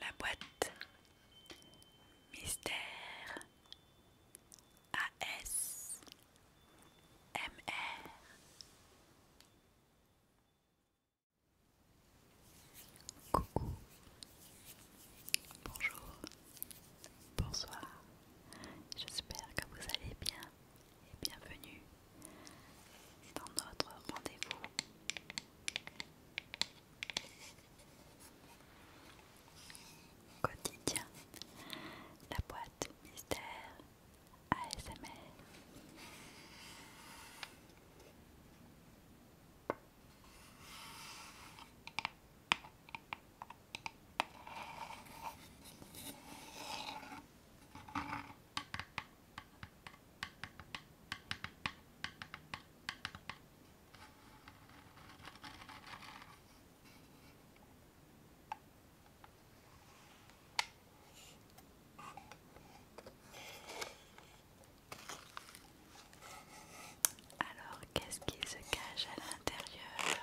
La boîte Mystère AS MR Coucou, bonjour, bonsoir. J'espère que vous allez bien et bienvenue dans notre rendez-vous. Quotidien, la boîte mystère ASMR. Alors, qu'est-ce qui se cache à l'intérieur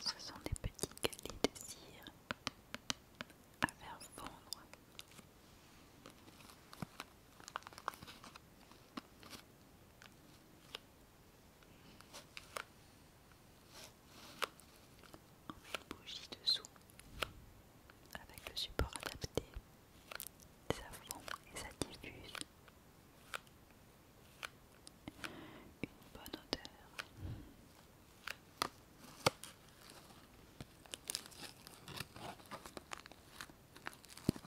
Ce sont des petits calis de cire à faire fondre une bougie dessous avec le support adapté, ça fond et ça diffuse une bonne odeur.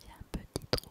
Il y a un petit trou.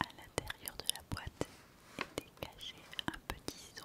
À l'intérieur de la boîte était caché un petit son.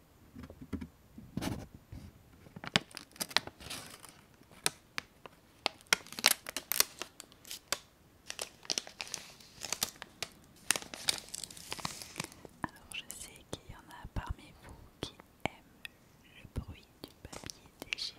Alors je sais qu'il y en a parmi vous qui aiment le bruit du papier déchiré.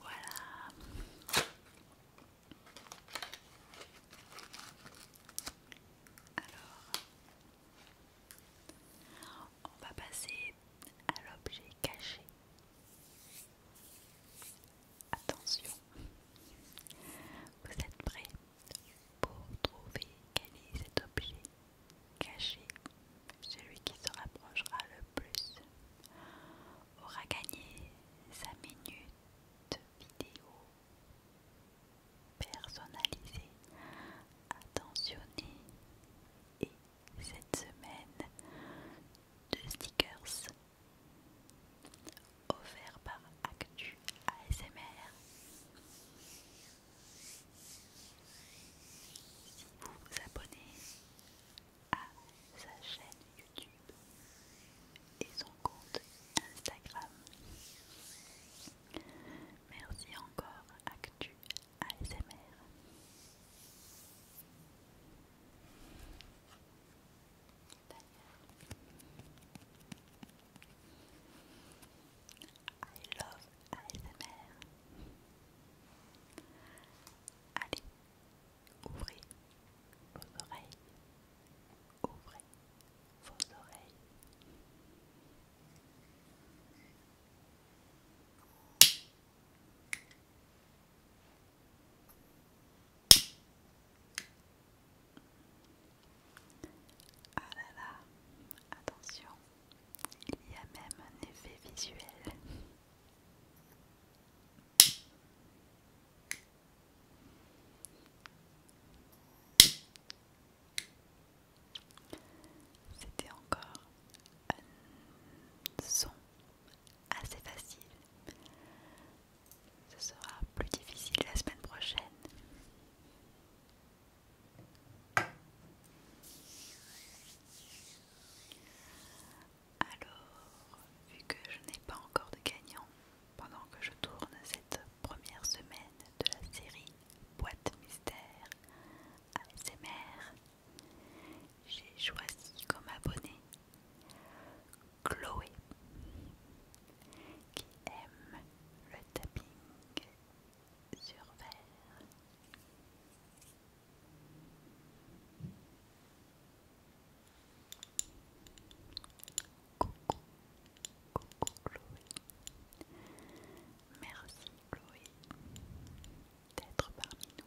Voilà. Alors, on va passer à l'objet caché. Attention, vous êtes prêts pour trouver quel est cet objet caché. Celui qui se rapprochera le plus aura gagné sa minute vidéo personnalisée, attentionnée et cette semaine de stickers offerts par Actu ASMR. Si vous vous abonnez à sa chaîne YouTube et son compte Instagram. Merci encore Actu ASMR. I love ASMR. Allez, ouvrez vos oreilles. Ouvrez vos oreilles. Ah attention, il y a même un effet visuel. C'était encore un son assez facile. Ce sera plus difficile la semaine prochaine. Alors, vu que je n'ai pas encore de gagnant pendant que je tourne cette première semaine de la série Boîte Mystère ASMR, j'ai choisi comme abonné Chloé qui aime le tapping sur verre. coucou Merci Chloé d'être parmi nous.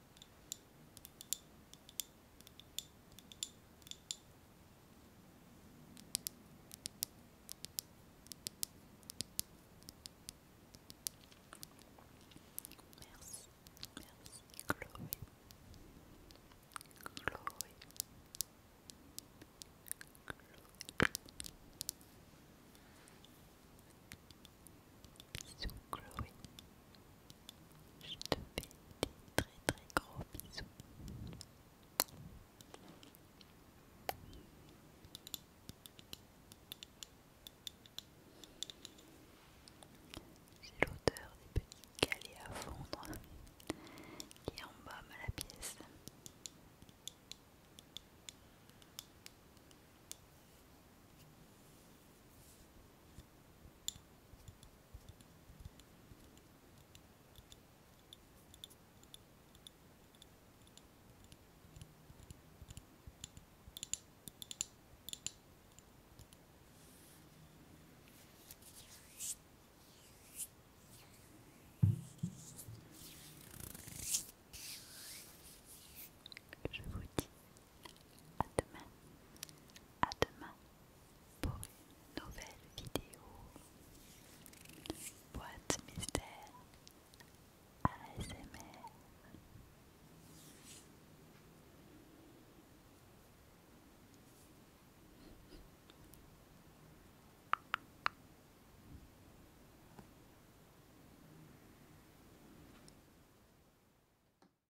Merci, merci Chloé. Chloé. Chloé. So Chloe, Je te fais des très très gros bisous. J'ai l'odeur des petits galets à fondre qui embaument la pièce. Je vous dis à demain, à demain pour une nouvelle vidéo. Boîte mystère ASMR.